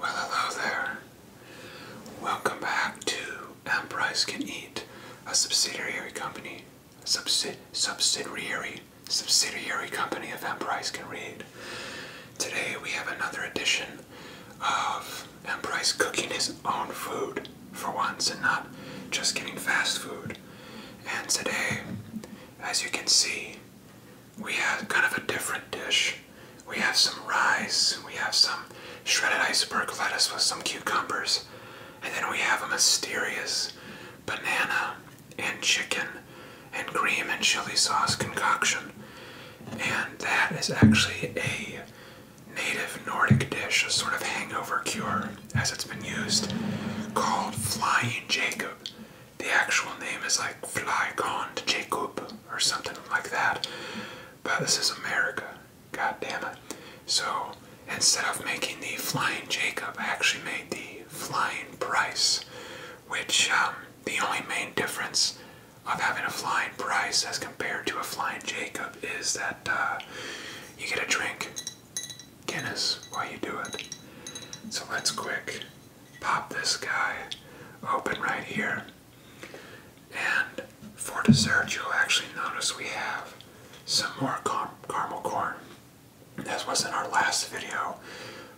Well, hello there. Welcome back to Emprise Can Eat, a subsidiary company, subsidiary, subsidiary company of Emprise Can Read. Today we have another edition of Emprise cooking his own food for once and not just getting fast food. And today as you can see, we have kind of a different dish. We have some rice, we have some shredded iceberg lettuce with some cucumbers, and then we have a mysterious banana and chicken and cream and chili sauce concoction. And that is actually a native Nordic dish, a sort of hangover cure, as it's been used, called Flying Jacob the actual name is like Fly Jacob or something like that. But this is America. God damn it. So instead of making the Flying Jacob, I actually made the Flying Price, which um, the only main difference of having a Flying Price as compared to a Flying Jacob is that uh, you get a drink Guinness while you do it. So let's quick pop this guy open right here. And for dessert, you'll actually notice we have some more caramel corn. This was in our last video,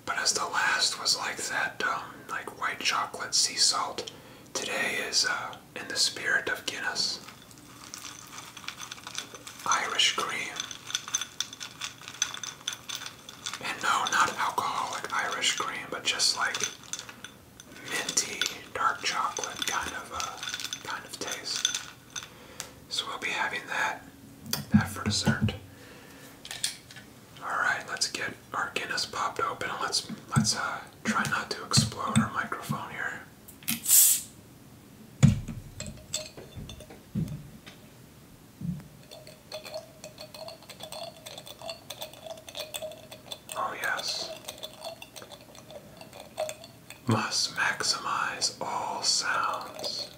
but as the last was like that, um, like white chocolate sea salt, today is uh, in the spirit of Guinness. Irish cream. And no, not alcoholic Irish cream, but just like minty, dark chocolate kind of uh, kind of taste. So we'll be having that that for dessert. All right, let's get our Guinness popped open and let's let's uh, try not to explode our microphone here. Oh, yes. Must maximize all sounds.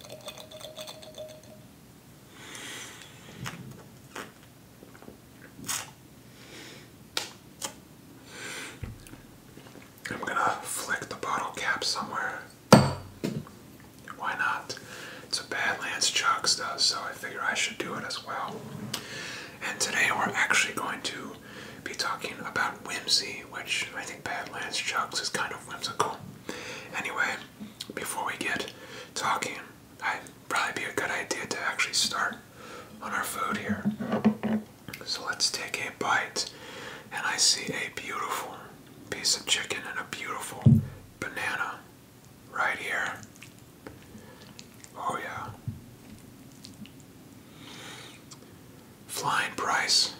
I'm gonna flick the bottle cap somewhere. Why not? It's a Badlands Chucks though, so I figure I should do it as well. And today we're actually going to be talking about whimsy, which I think Badlands Chucks is kind of whimsical. Anyway, before we get talking, I'd probably be a good idea to actually start on our food here. So let's take a bite, and I see a beautiful piece of chicken and a beautiful banana right here. Oh, yeah. Flying price.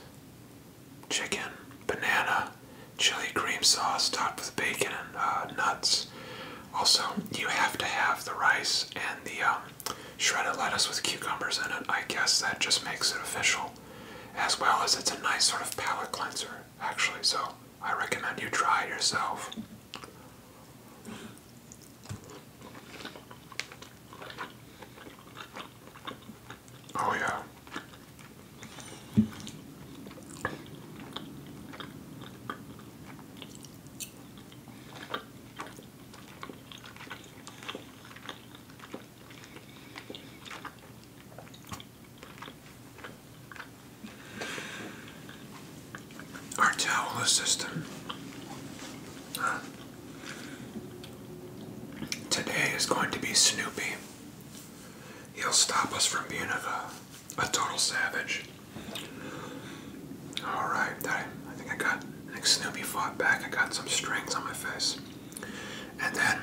Chicken, banana, chili cream sauce topped with bacon and uh, nuts. Also, you have to have the rice and the um, shredded lettuce with cucumbers in it. I guess that just makes it official as well as it's a nice sort of palate cleanser, actually. So I recommend you try it yourself. Oh, yeah. Our towel system today is going to be Snoopy. He'll stop us from being a, total savage. Alright, I think I got, I think Snoopy fought back. I got some strings on my face. And then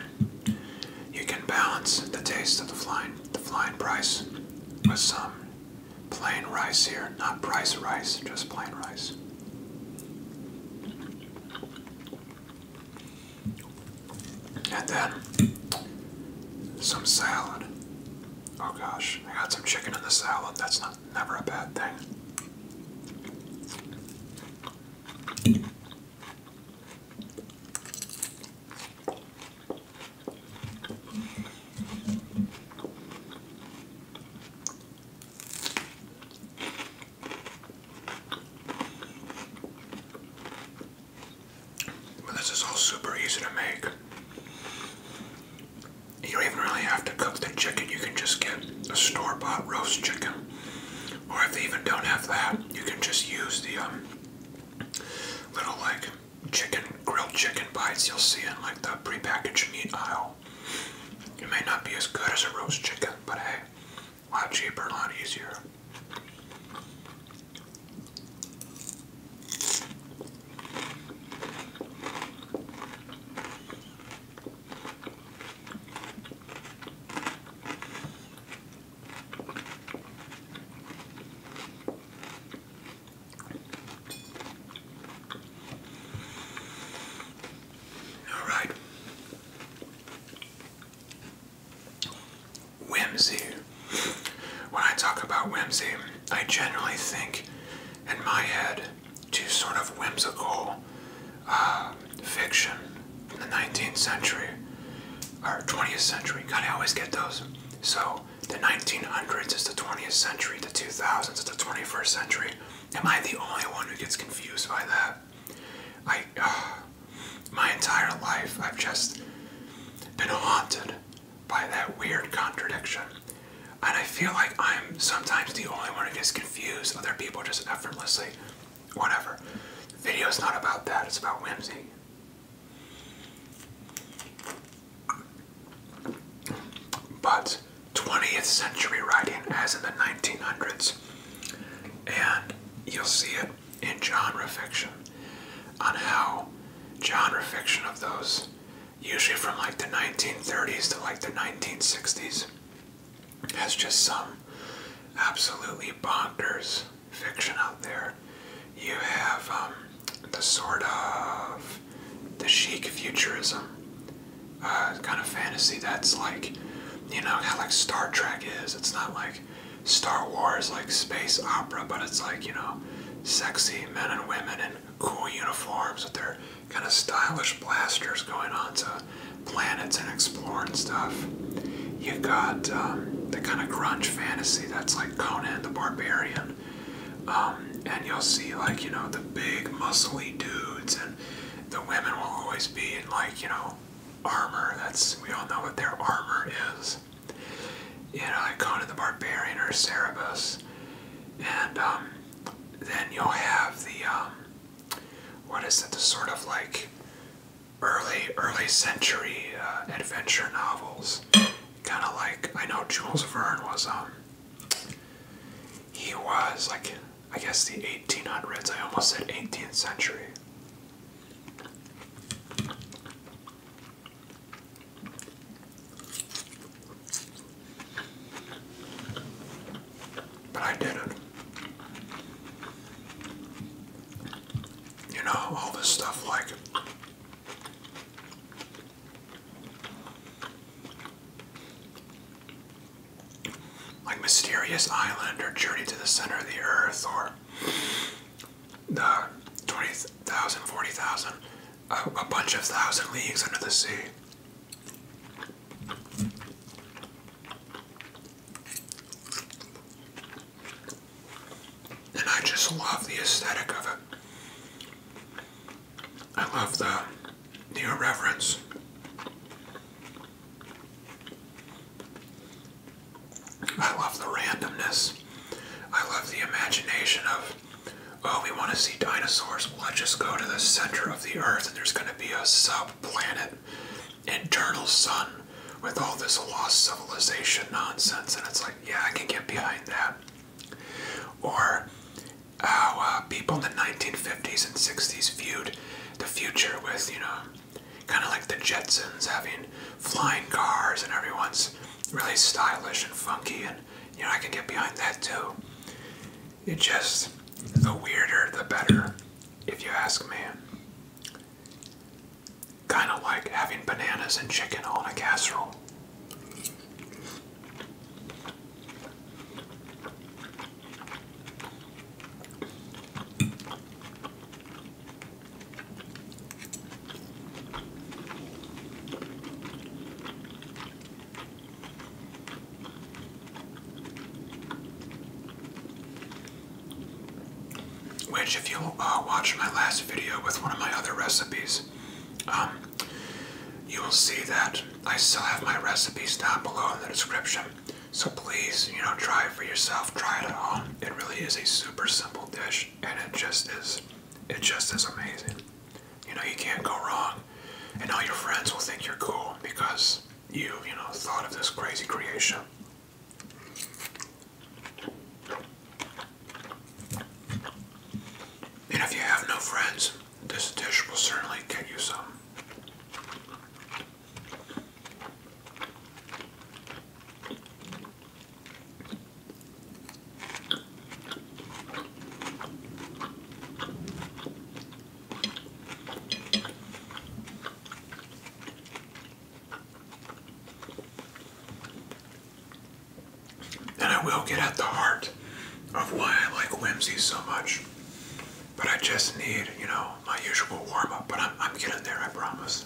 you can balance the taste of the flying the flying price with some plain rice here, not price rice, just plain rice. And then some salad. Oh gosh, I got some chicken in the salad. That's not never a bad thing. Well, this is all super easy to make. You don't even really have to cook the chicken, you can just get a store bought roast chicken or if they even don't have that, you can just use the um, little like chicken, grilled chicken bites you'll see in like the prepackaged meat aisle. It may not be as good as a roast chicken, but hey, a lot cheaper, a lot easier. All right. Whimsy. When I talk about whimsy, I generally think in my head too sort of whimsical fiction from the 19th century or 20th century. God, I always get those. So the 1900s is the 20th century, the 2000s is the 21st century. Am I the only one who gets confused by that? I, uh, my entire life, I've just been haunted by that weird contradiction. And I feel like I'm sometimes the only one who gets confused. Other people just effortlessly whatever. The video is not about that, it's about whimsy. But 20th century writing, as in the 1900s, and you'll see it in genre fiction on how genre fiction of those, usually from like the 1930s to like the 1960s, has just some absolutely bonkers fiction out there. You have um, the sort of the chic futurism uh, kind of fantasy that's like, you know, kind of like Star Trek is. It's not like Star Wars, like space opera, but it's like, you know, sexy men and women in cool uniforms with their kind of stylish blasters going on to planets and exploring stuff. You got um, the kind of grunge fantasy that's like Conan the Barbarian. Um, and you'll see like, you know, the big muscly dudes and the women will always be in like, you know, armor. That's, we all know what their armor is. You know, Conan the Barbarian or Cerberus. And um, then you'll have the, what is it, the sort of like early early century uh, adventure novels. Kind of like I know Jules Verne was um he was like I guess the 1800s. I almost said 18th century. But I didn't. You know, all this stuff like like Mysterious Island or Journey to the Center of the Earth or the 20,000, a bunch of thousand leagues under the sea. And I just love the aesthetic of it. I love the, the irreverence. I love the randomness. I love the imagination of, oh, we want to see dinosaurs. Well, let's just go to the center of the earth and there's going to be a sub planet internal sun with all this lost civilization nonsense, and it's like, yeah, I can get behind that. Or how uh, people in the 1950s and 60s viewed the future with, you know, kind of like the Jetsons having flying cars and everyone's really stylish and funky, and, you know, I can get behind that too. It just, the weirder, the better, if you ask me. Kind of like having bananas and chicken on a casserole. Which, if you uh, watch my last video with one of my other recipes, um, you will see that I still have my recipes down below in the description. So please, you know, try it for yourself. Try it at home. It really is a super simple dish, and it just is. It just is amazing. You know, you can't go wrong, and all your friends will think you're cool because you, you know, thought of this crazy creation. And if you have no friends, this dish will certainly get you some. And I will get at the heart of why I like Whimsy so much. But I just need, you know, my usual warm up. But I'm, I'm getting there, I promise.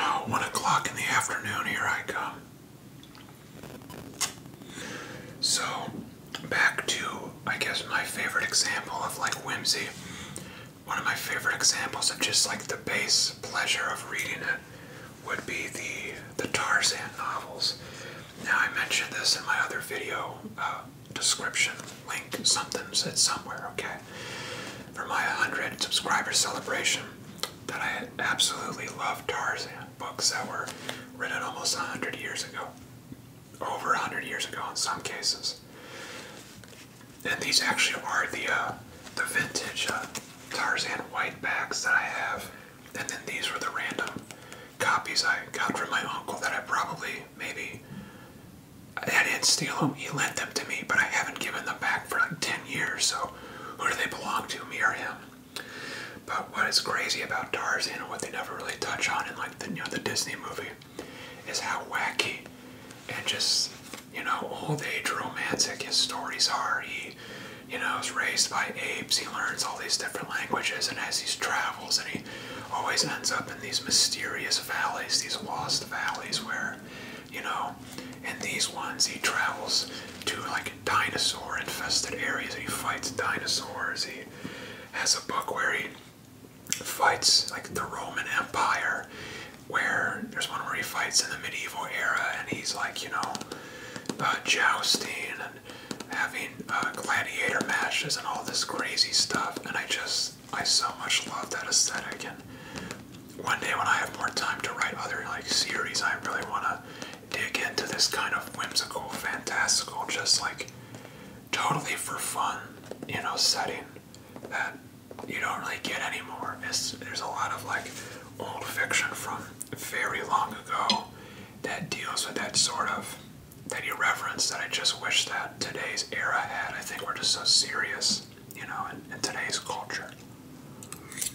Oh, one o'clock in the afternoon, here I come. So, back to, I guess, my favorite example of like whimsy. One of my favorite examples of just like the base pleasure of reading it would be the, the Tarzan novels. Now, I mentioned this in my other video uh, description link, something said somewhere, okay? For my 100 subscriber celebration, that I absolutely love Tarzan books that were written almost 100 years ago, over 100 years ago in some cases. And these actually are the uh, the vintage uh, Tarzan white bags that I have, and then these were the random copies I got from my uncle that I probably maybe I didn't steal them. He lent them to me, but I haven't given them back for like 10 years. So who do they belong to, me or him? But what is crazy about Tarzan and what they never really touch on in like the you know the Disney movie is how wacky and just you know old age romantic his stories are. He you know is raised by apes. He learns all these different languages and as he travels and he always ends up in these mysterious valleys, these lost valleys where you know in these ones he travels to like dinosaur infested areas he fights dinosaurs. He has a book where he fights like the Roman Empire, where there's one where he fights in the medieval era and he's like, you know, uh, jousting and having uh, gladiator matches and all this crazy stuff. And I just, I so much love that aesthetic. And one day when I have more time to write other like series, I really want to dig into this kind of whimsical, fantastical, just like totally for fun, you know, setting that you don't really get anymore. there's a lot of like old fiction from very long ago that deals with that sort of that irreverence that I just wish that today's era had. I think we're just so serious, you know, in today's culture.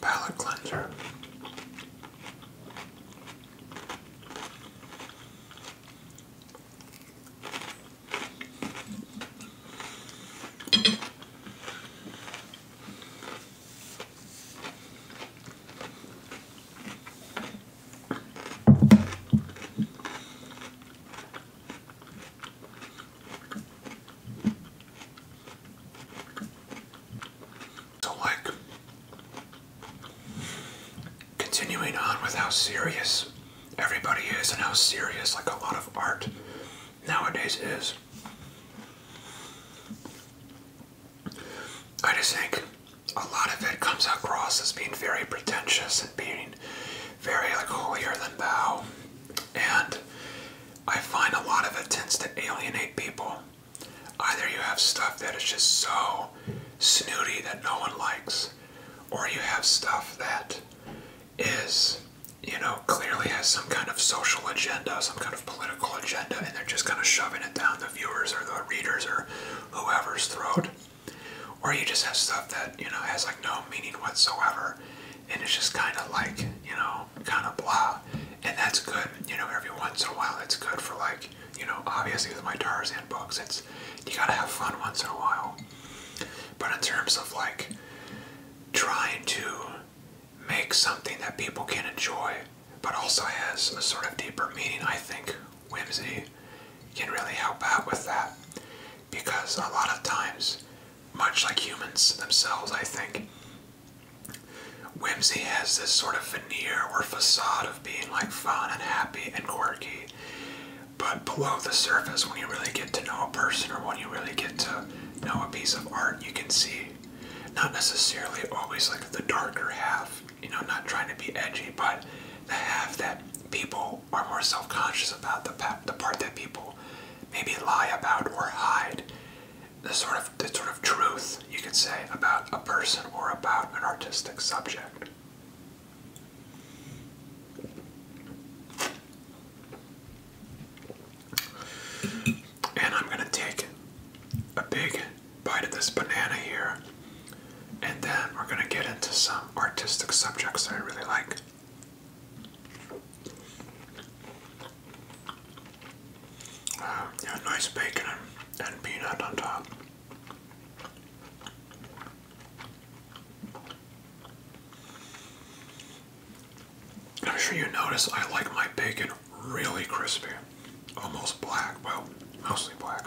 palette cleanser. So, like, continuing on with how serious everybody is and how serious, like, a lot of art nowadays is, I just think a lot of it comes across as being very pretentious and being very, like, holier than thou. And I find a lot of it tends to alienate people. Either you have stuff that is just so snooty that no one likes, or you have stuff that is, you know, clearly has some kind of social agenda, some kind of political agenda, and they're just kind of shoving it down the viewers or the readers or whoever's throat. Or you just have stuff that, you know, has like no meaning whatsoever and it's just kind of like you know kind of blah and that's good you know every once in a while it's good for like you know obviously with my tarzan books it's you gotta have fun once in a while but in terms of like trying to make something that people can enjoy but also has a sort of deeper meaning i think whimsy can really help out with that because a lot of times much like humans themselves, I think. Whimsy has this sort of veneer or facade of being like fun and happy and quirky. But below the surface, when you really get to know a person or when you really get to know a piece of art, you can see not necessarily always like the darker half, you know, not trying to be edgy, but the half that people are more self conscious about, the, the part that people maybe lie about or hide the sort of the sort of truth you could say about a person or about an artistic subject. And I'm gonna take a big bite of this banana here, and then we're gonna get into some artistic subjects that I really like. Uh, yeah, nice bacon and peanut on top. I'm sure you notice I like my bacon really crispy, almost black, well, mostly black.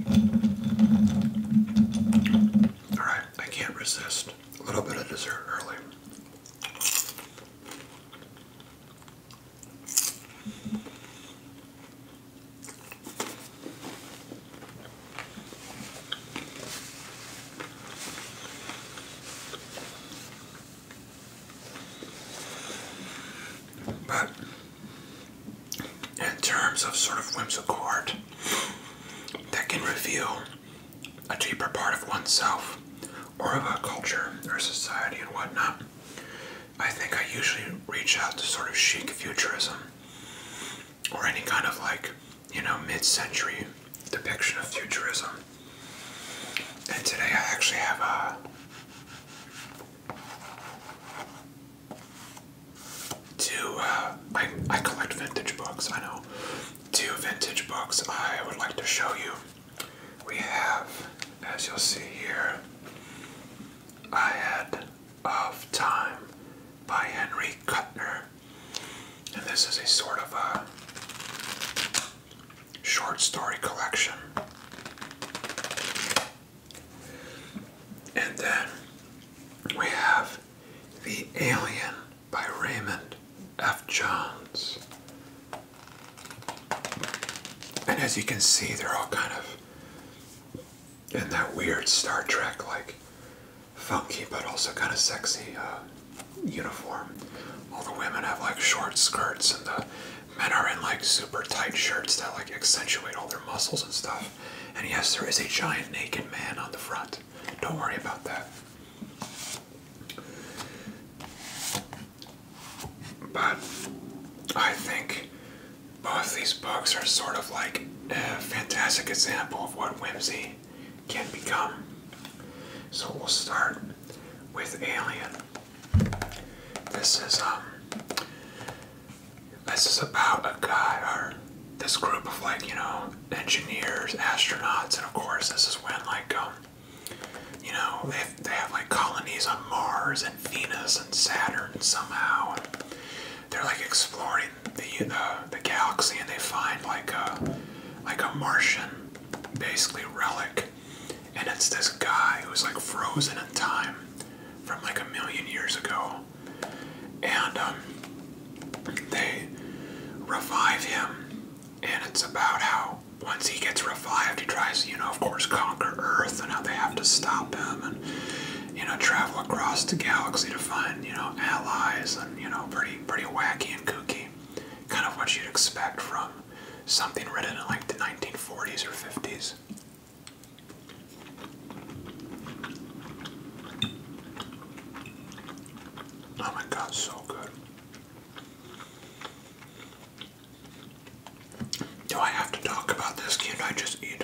All right, I can't resist a little bit of dessert early. But in terms of sort of whimsical art that can reveal a deeper part of oneself or of a culture or society and whatnot, I think I usually reach out to sort of chic futurism or any kind of like, you know, mid century depiction of futurism. And today I actually have a Two, I, I collect vintage books, I know. Two vintage books I would like to show you. We have, as you'll see here, Ahead of Time by Henry Kuttner. And this is a sort of a short story collection. And then we have The Alien by Raymond F. Jones. And as you can see, they're all kind of in that weird Star Trek like funky but also kind of sexy uh, uniform. All the women have like short skirts and the men are in like super tight shirts that like accentuate all their muscles and stuff. And yes, there is a giant naked man on the front. Don't worry about that. But I think both these books are sort of like a fantastic example of what whimsy can become. So we'll start with Alien. This is um this is about a guy or this group of like, you know, engineers, astronauts, and of course this is when like um you know, they have, they have like colonies on Mars and Venus and Saturn somehow. they're like exploring the uh, the galaxy and they find like a like a Martian basically relic. And it's this guy who's like frozen in time from like a million years ago and um, they revive him, and it's about how once he gets revived, he tries, you know, of course, conquer Earth, and how they have to stop him, and you know, travel across the galaxy to find, you know, allies, and you know, pretty, pretty wacky and kooky, kind of what you'd expect from something written in like the 1940s or 50s. Oh my god, so good. Do I have to talk about this? can I just eat?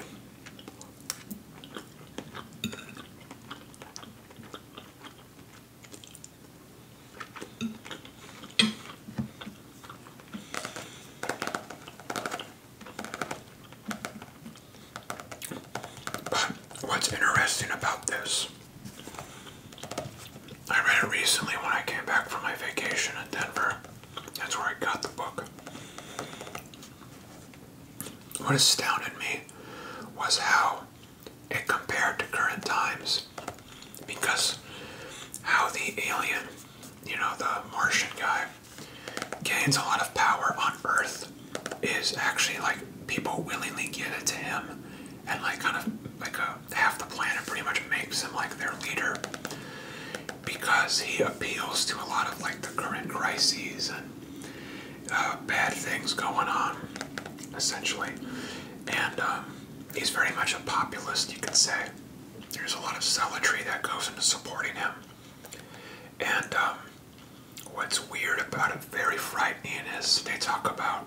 But what's interesting about this, I read it recently when I came back from my vacation in Denver. That's where I got the book. What astounded me was how it compared to current times because how the alien, you know, the Martian guy, gains a lot of power on earth is actually like people willingly give it to him and like kind of like a, uh, half the planet pretty much makes him like their leader because he appeals to a lot of like the current crises and uh, bad things going on essentially and um, he's very much a populist you could say there's a lot of zealotry that goes into supporting him and um, what's weird about it, very frightening, is they talk about,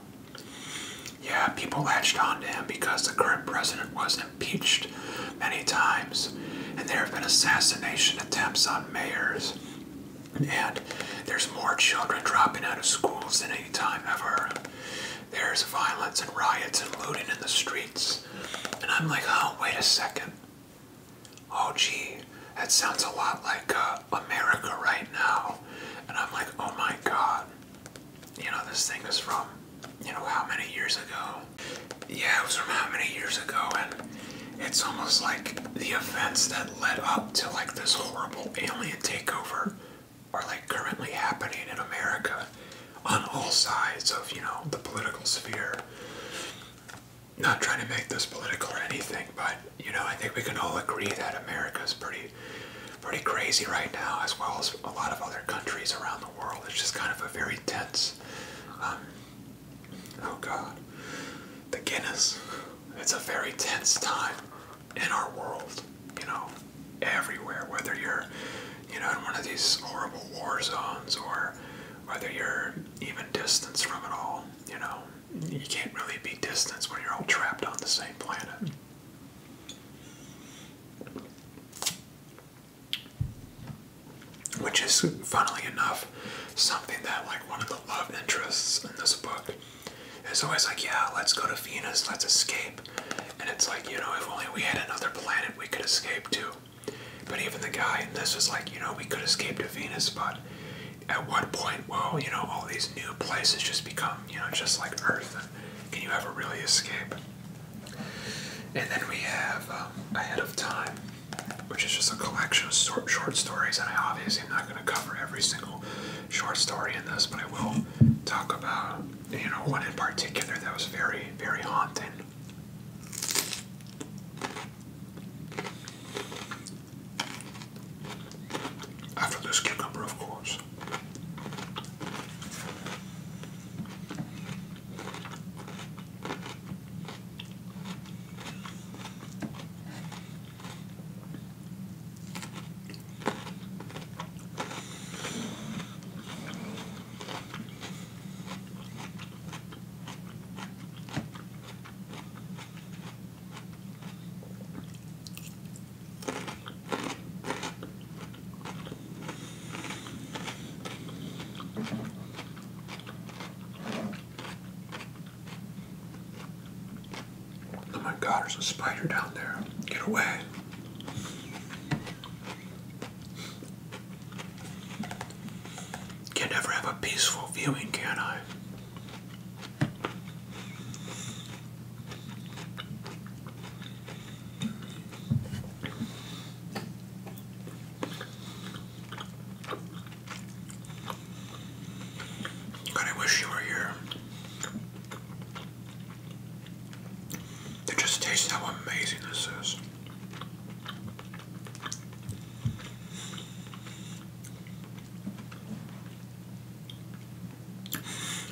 yeah, people latched on to him because the current president was impeached many times, and there have been assassination attempts on mayors, and there's more children dropping out of schools than any time ever. There's violence and riots and looting in the streets. And I'm like, oh, wait a second oh gee, that sounds a lot like uh, America right now. And I'm like, oh my god, you know, this thing is from, you know, how many years ago? Yeah, it was from how many years ago, and it's almost like the events that led up to like this horrible alien takeover are like currently happening in America on all sides of, you know, the political sphere not trying to make this political or anything, but you know, I think we can all agree that America is pretty, pretty crazy right now, as well as a lot of other countries around the world. It's just kind of a very tense. Um, oh God, the Guinness. It's a very tense time in our world. You know, everywhere, whether you're, you know, in one of these horrible war zones or whether you're even distanced from it all. You know, you can't really be distanced when you're all trapped on the same planet. Which is, funnily enough, something that, like, one of the love interests in this book is always like, yeah, let's go to Venus, let's escape. And it's like, you know, if only we had another planet we could escape to. But even the guy in this was like, you know, we could escape to Venus, but at what point will, you know, all these new places just become, you know, just like Earth? can you ever really escape? And then we have um, Ahead of Time, which is just a collection of short, short stories. And I obviously am not going to cover every single short story in this, but I will talk about, you know, one in particular that was very, very haunting. After this cucumber, of course. Oh my god, there's a spider down there. Get away. Can not ever have a peaceful viewing, can I? God, I wish you were here. To just taste how amazing this is.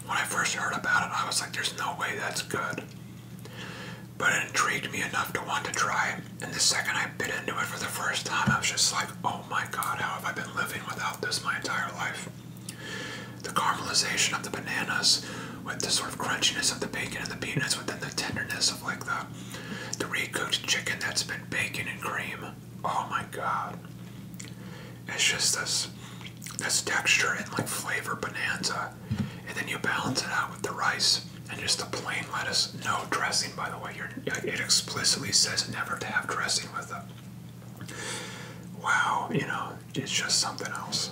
When I first heard about it, I was like, there's no way that's good. But it intrigued me enough to want to try it. And the second I bit into it for the first time, I was just like, oh my god, how have I been living without this my entire life? The caramelization of the bananas with the sort of crunchiness of the bacon and the peanuts within the tenderness of like the the recooked chicken that's been bacon and cream. Oh my god. It's just this this texture and like flavor bonanza. And then you balance it out with the rice and just the plain lettuce. No dressing, by the way. it explicitly says never to have dressing with it. Wow, you know, it's just something else.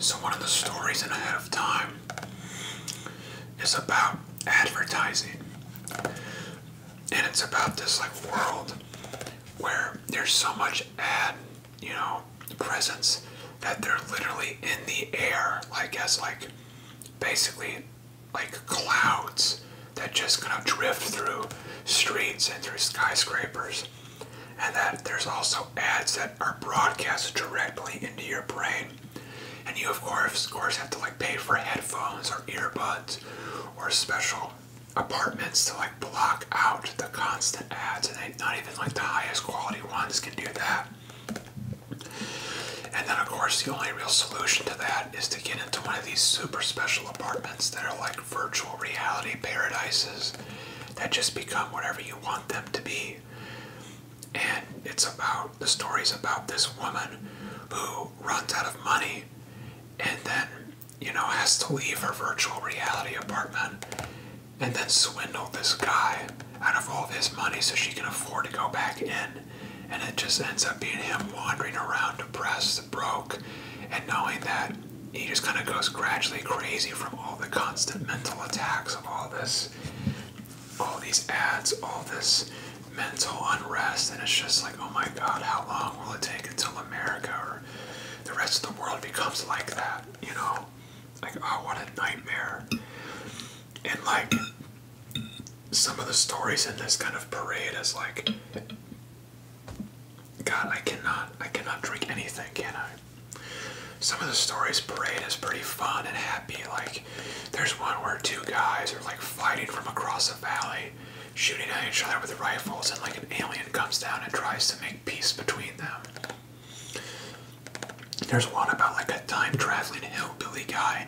So one of the stories in Ahead of Time is about advertising. And it's about this like world where there's so much ad, you know, presence that they're literally in the air, like as like basically like clouds that just kind of drift through streets and through skyscrapers. And that there's also ads that are broadcast directly into your brain and you of course, of course, have to like pay for headphones or earbuds or special apartments to like block out the constant ads, and they, not even like the highest quality ones can do that. And then, of course, the only real solution to that is to get into one of these super special apartments that are like virtual reality paradises that just become whatever you want them to be. And it's about the stories about this woman who runs out of money and then, you know, has to leave her virtual reality apartment and then swindle this guy out of all his money so she can afford to go back in. And it just ends up being him wandering around depressed, broke, and knowing that he just kind of goes gradually crazy from all the constant mental attacks of all this all these ads, all this mental unrest, and it's just like, oh my god, how long will it take until America or the rest of the world becomes like that? You know? Like, oh, what a nightmare. And like, some of the stories in this kind of parade is like, God, I cannot, I cannot drink anything, can I? Some of the stories parade is pretty fun and happy, like there's one where two guys are like fighting from across a valley, shooting at each other with rifles, and like an alien comes down and tries to make peace between them. There's one about like a time traveling hillbilly guy.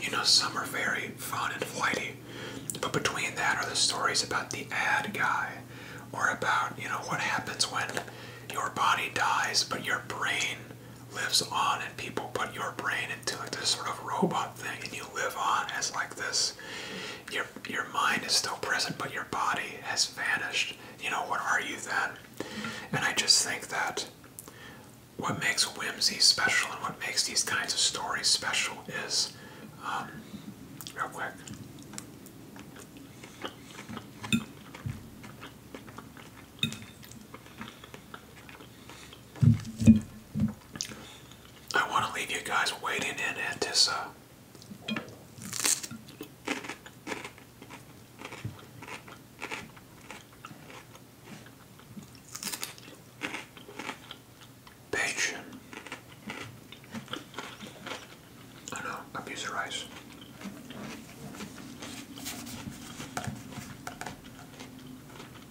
You know, some are very fun and flighty, but between that are the stories about the ad guy, or about you know what happens when your body dies but your brain lives on and people put your brain into like this sort of robot thing and you live on as like this your your mind is still present but your body has vanished you know what are you then and i just think that what makes whimsy special and what makes these kinds of stories special is um, real quick I want to leave you guys waiting in Antissa. this uh, I know, abuse the rice.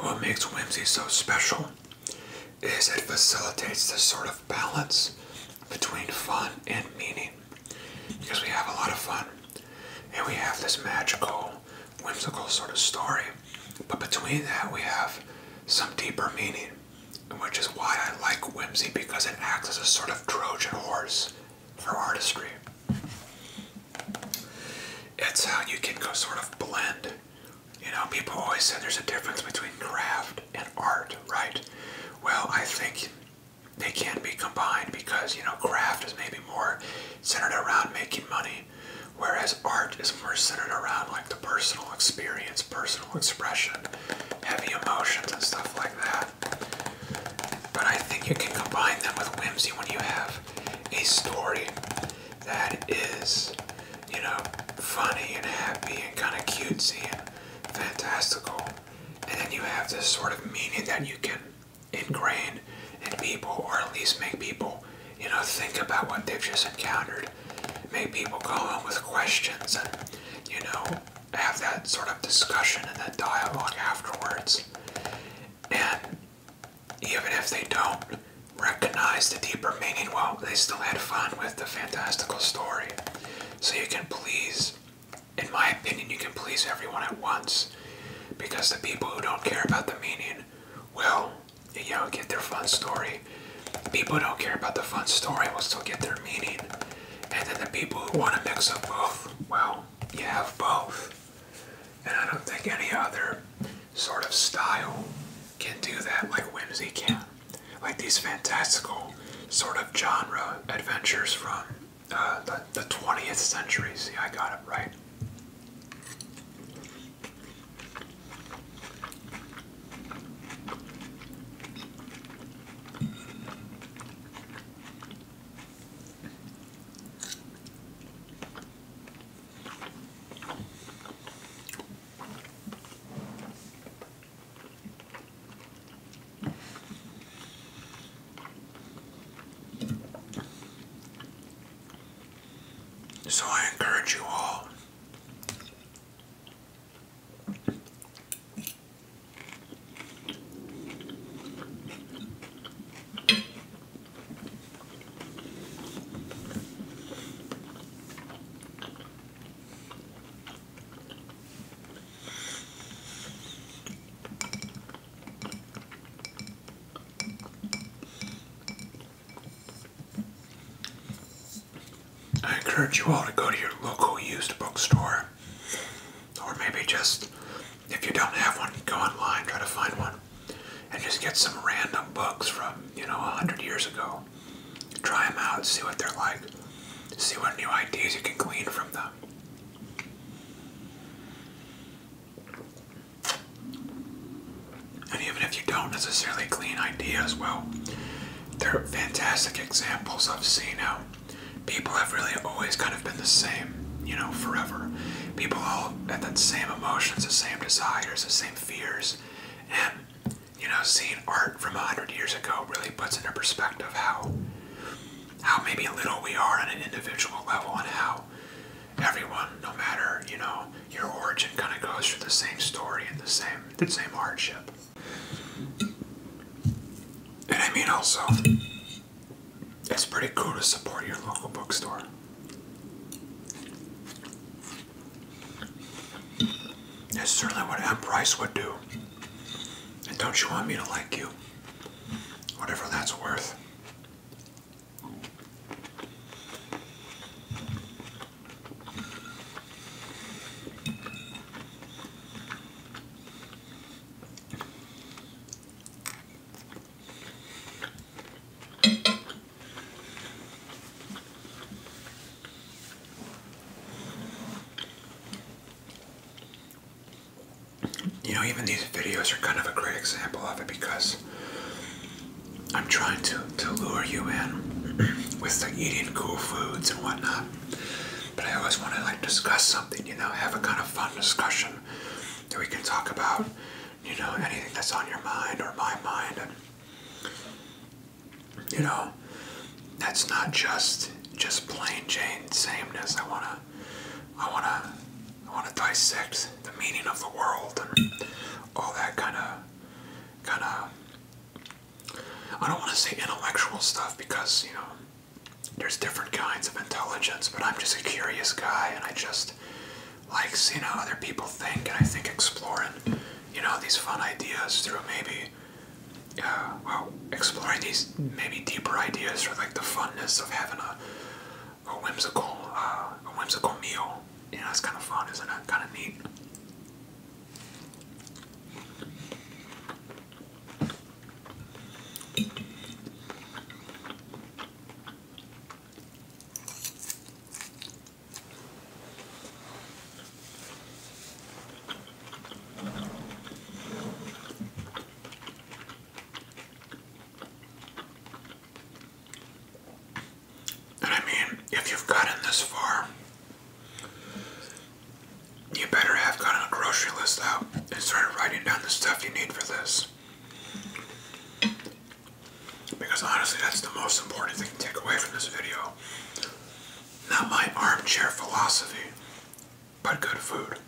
what makes whimsy so special is it facilitates this sort of balance between fun and meaning because we have a lot of fun and we have this magical, whimsical sort of story, but between that we have some deeper meaning, which is why I like whimsy because it acts as a sort of Trojan horse for artistry. It's how you can go sort of blend. You know, people always say there's a difference between craft and art, right? Well, I think they can be combined because you know craft is maybe more centered around making money whereas art is more centered around like the personal experience personal expression heavy emotions and stuff like that but i think you can combine them with whimsy when you have a story that is you know funny and happy and kind of cutesy and fantastical and then you have this sort of meaning that you can ingrain in people, or at least make people, you know, think about what they've just encountered. Make people go on with questions and, you know, have that sort of discussion and that dialogue afterwards. And even if they don't recognize the deeper meaning, well, they still had fun with the fantastical story. So you can please in my opinion, you can please everyone at once because the people who don't care about the meaning will, you know, get their fun story. people who don't care about the fun story will still get their meaning. And then the people who want to mix up both, well, you have both. And I don't think any other sort of style can do that like whimsy can like these fantastical sort of genre adventures from uh, the, the 20th century. See, I got it right. So I encourage you all I encourage you all to go to your local used bookstore, or maybe just, if you don't have one, go online, try to find one, and just get some random books from, you know, a hundred years ago. Try them out, see what they're like see what new ideas you can glean from them. And even if you don't necessarily glean ideas, well, they're fantastic examples of seeing how people have really always kind of been the same, you know, forever. People all have the same emotions, the same desires, the same fears. And, you know, seeing art from 100 years ago really puts into perspective how how maybe little we are on an individual level and how everyone, no matter, you know, your origin kind of goes through the same story and the same the same hardship. And I mean also it's pretty cool to support your local bookstore. It's certainly what M. Price would do. And don't you want me to like you? Whatever that's worth you know, even these videos are kind of a great example of it because I'm trying to, to lure you in with like eating cool foods and whatnot. But I always want to like discuss something, you know, have a kind of fun discussion that we can talk about, you know, anything that's on your mind or my mind. And, you know, that's not just just plain Jane sameness. I wanna I wanna I wanna dissect the meaning of the world and all that kind of kind of I don't want to say intellectual stuff because you know there's different kinds of intelligence, but I'm just a curious guy and I just like seeing how other people think and I think exploring you know these fun ideas through maybe uh, well, exploring these maybe deeper ideas or like the funness of having a, a whimsical uh, a whimsical meal. You it's kind of fun, isn't it? Kind of neat. And I mean, if you've gotten this far, you better have gotten a grocery list out and started writing down the stuff you need for this. Because honestly, that's the most important thing to take away from this video. Not my armchair philosophy but good food.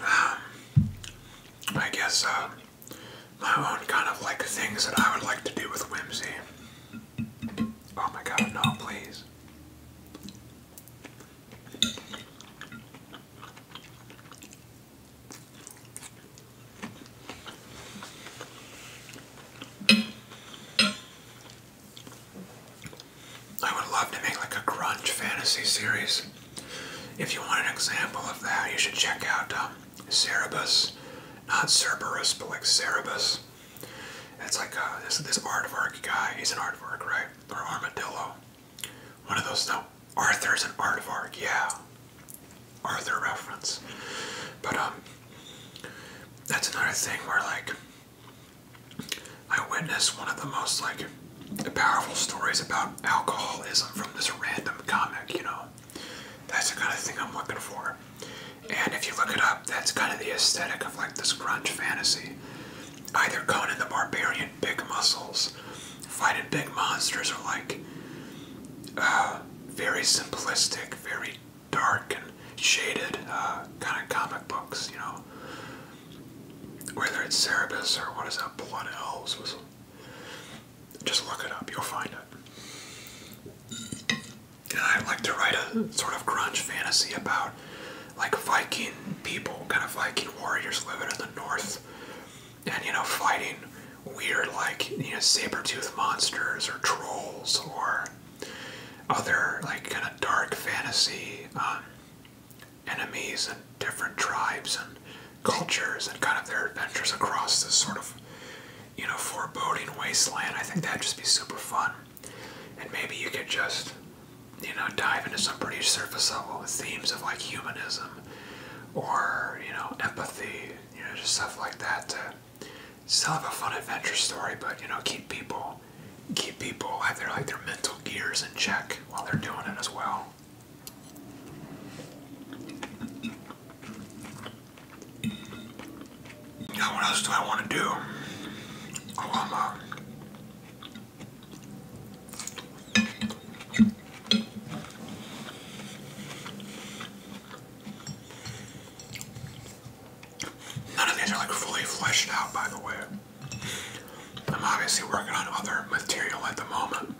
Um, I guess uh, my own kind of like things that I would like to do with whimsy. Oh my god, no, please. I would love to make like a grunge fantasy series. If you want an example of that, you should check out um, Not Cerberus, but like Cerebus. It's like uh, this Art of aardvark guy. He's an aardvark, right? Or armadillo. One of those, no. Arthur's an Art of aardvark, yeah. Arthur reference. But um that's another thing where like I witnessed one of the most like powerful stories about alcoholism from this random comic, you know. That's the kind of thing I'm looking for. And if you look it up, that's kind of the aesthetic of like this grunge fantasy. Either Conan the Barbarian, big muscles, fighting big monsters, or like uh, very simplistic very dark and shaded uh, kind of comic books, you know. Whether it's Cerberus or what is that, Blood Elves, was, just look it up, you'll find it. And I like to write a sort of grunge fantasy about like Viking people, kind of Viking warriors living in the north and, you know, fighting weird, like you know, saber-toothed monsters or trolls or other like kind of dark fantasy um, enemies and different tribes and cultures and kind of their adventures across this sort of you know foreboding wasteland. I think that'd just be super fun, and maybe you could just you know dive into some pretty surface level themes of like humanism or you know empathy, you know just stuff like that still have a fun adventure story, but you know, keep people, keep people have their like their mental gears in check while they're doing it as well. Now, what else do I want to do? Oh, i None of these are like fully fleshed out, by the way. I'm obviously working on other material at the moment.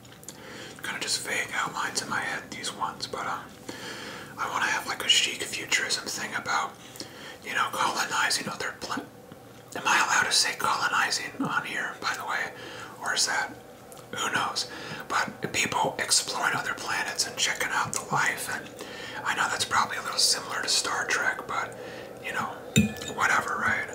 kind of just vague outlines in my head, these ones, but um, I want to have like a chic futurism thing about, you know, colonizing other planets. Am I allowed to say colonizing on here, by the way? Or is that who knows? But people exploring other planets and checking out the life, and I know that's probably a little similar to Star Trek, but you know, whatever, right?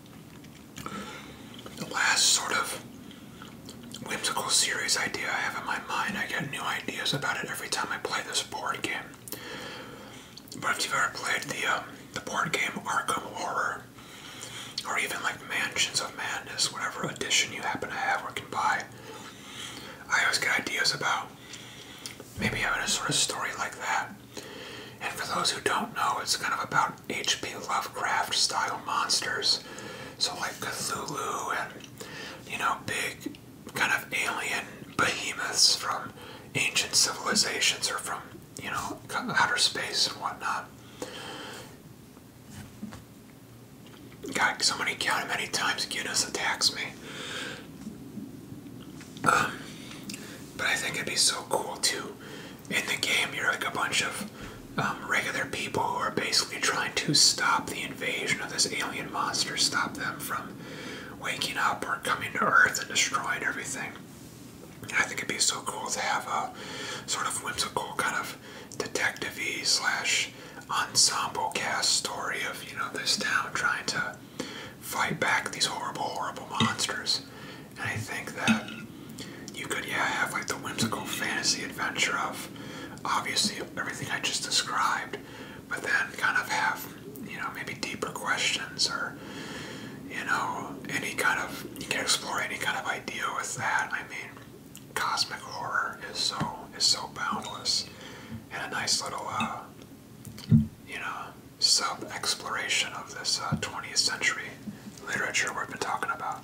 the last sort of whimsical series idea I have in my mind. I get new ideas about it every time I play this board game. But if you've ever played the um, the board game Arkham Horror, or even like Mansions of Madness, whatever edition you happen to have or can buy, I always get ideas about maybe having a sort of story like that. And for those who don't know, it's kind of about H.P. Lovecraft style monsters. So, like Cthulhu and, you know, big kind of alien behemoths from ancient civilizations or from, you know, outer space and whatnot. God, somebody counted many times Guinness attacks me. Um, but I think it'd be so cool to in the game, you're like a bunch of um, regular people who are basically trying to stop the invasion of this alien monster, stop them from waking up or coming to Earth and destroying everything. I think it'd be so cool to have a sort of whimsical kind of detective slash ensemble cast story of, you know, this town trying to fight back these horrible, horrible monsters. And I think that you could yeah have like the whimsical fantasy adventure of obviously everything I just described, but then kind of have you know maybe deeper questions or you know any kind of you can explore any kind of idea with that. I mean, cosmic horror is so is so boundless and a nice little uh, you know sub exploration of this 20th uh, century literature we've been talking about.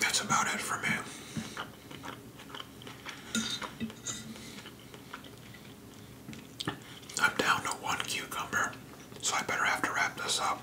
that's about it for me. I'm down to one cucumber, so I better have to wrap this up.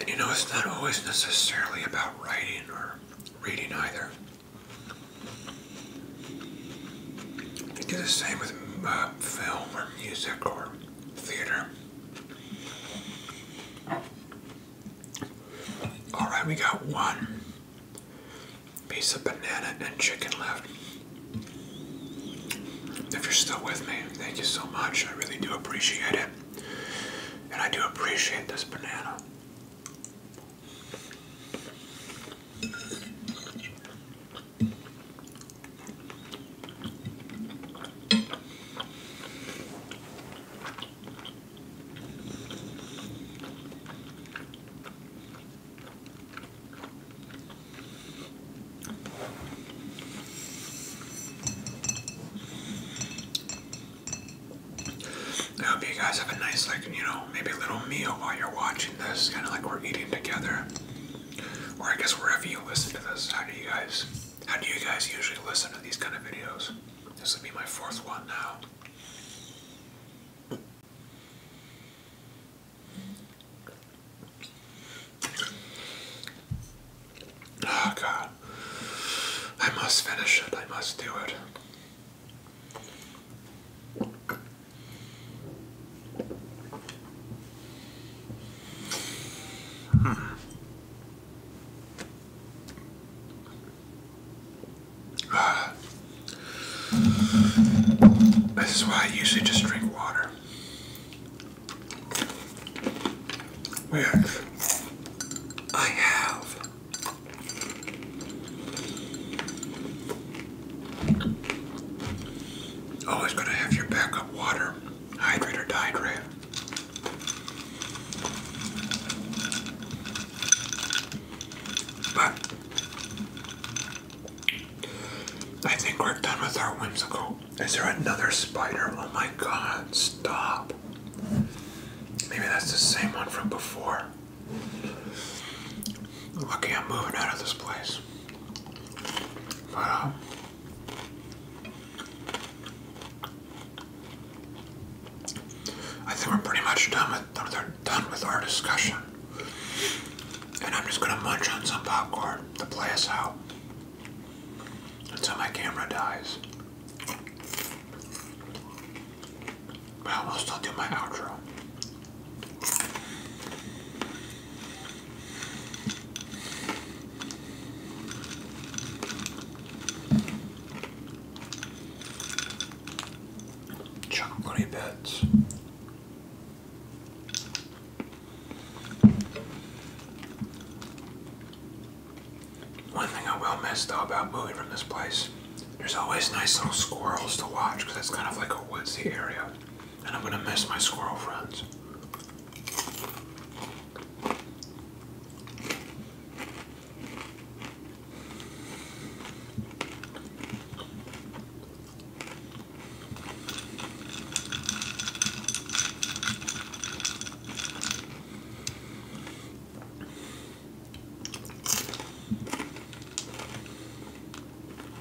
And You know, it's not always necessarily about writing or reading either. You do the same with uh, film or music or theater. Alright, we got one piece of banana and chicken left. If you're still with me, thank you so much. I really do appreciate it. And I do appreciate this banana. I hope you guys have a nice, like, you know, maybe a little meal while you're watching watching this, kind of like we're eating together, or I guess wherever you listen to this, how do you guys, how do you guys usually listen to these kind of videos? This would be my fourth one now. Oh God, I must finish it. I must do it. Hmm. This is why I usually just drink water. Yes, I have Always going to have your backup water, hydrate or dehydrate. But I think we're done with our whimsical. Is there another spider? Oh my god, stop. Maybe that's the same one from before. Lucky I'm moving out of this place. But, uh, I think we're pretty much done with, done with our discussion. And I'm just gonna munch on some popcorn to play us out until my camera dies. But I'll still do my outro. Chocolatey bits. One thing I will miss though about moving from this place, there's always nice little squirrels to watch because it's kind of like a woodsy area and I'm gonna miss my squirrel friends.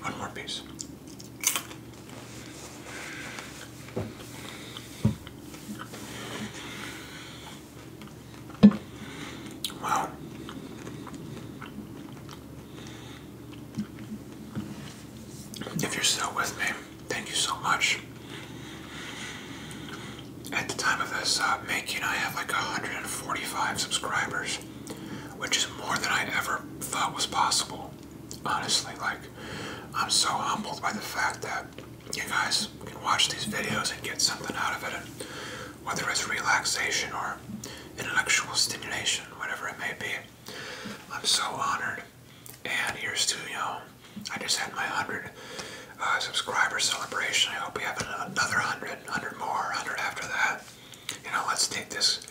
One more piece. Wow. If you're still with me, thank you so much. At the time of this uh, making, I have like 145 subscribers, which is more than I ever thought was possible. Honestly, like, I'm so humbled by the fact that you guys can watch these videos and get something out of it, and whether it's relaxation or intellectual stimulation, whatever it may be. I'm so honored. And here's to, you I just had my 100 uh, subscriber celebration. I hope we have another hundred, hundred more, 100 after that. You know, let's take this,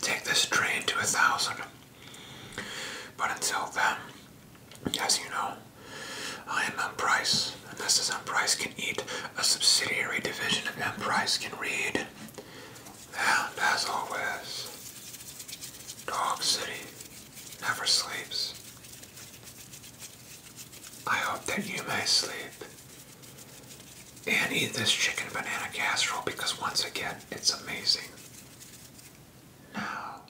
take this train to a 1,000. But until then, as you know, I am M. Price, and this is M. Price Can Eat, a subsidiary division of M. Price Can Read. And as always, Dog City never sleeps. I hope that you may sleep and eat this chicken banana casserole because once again, it's amazing. Now.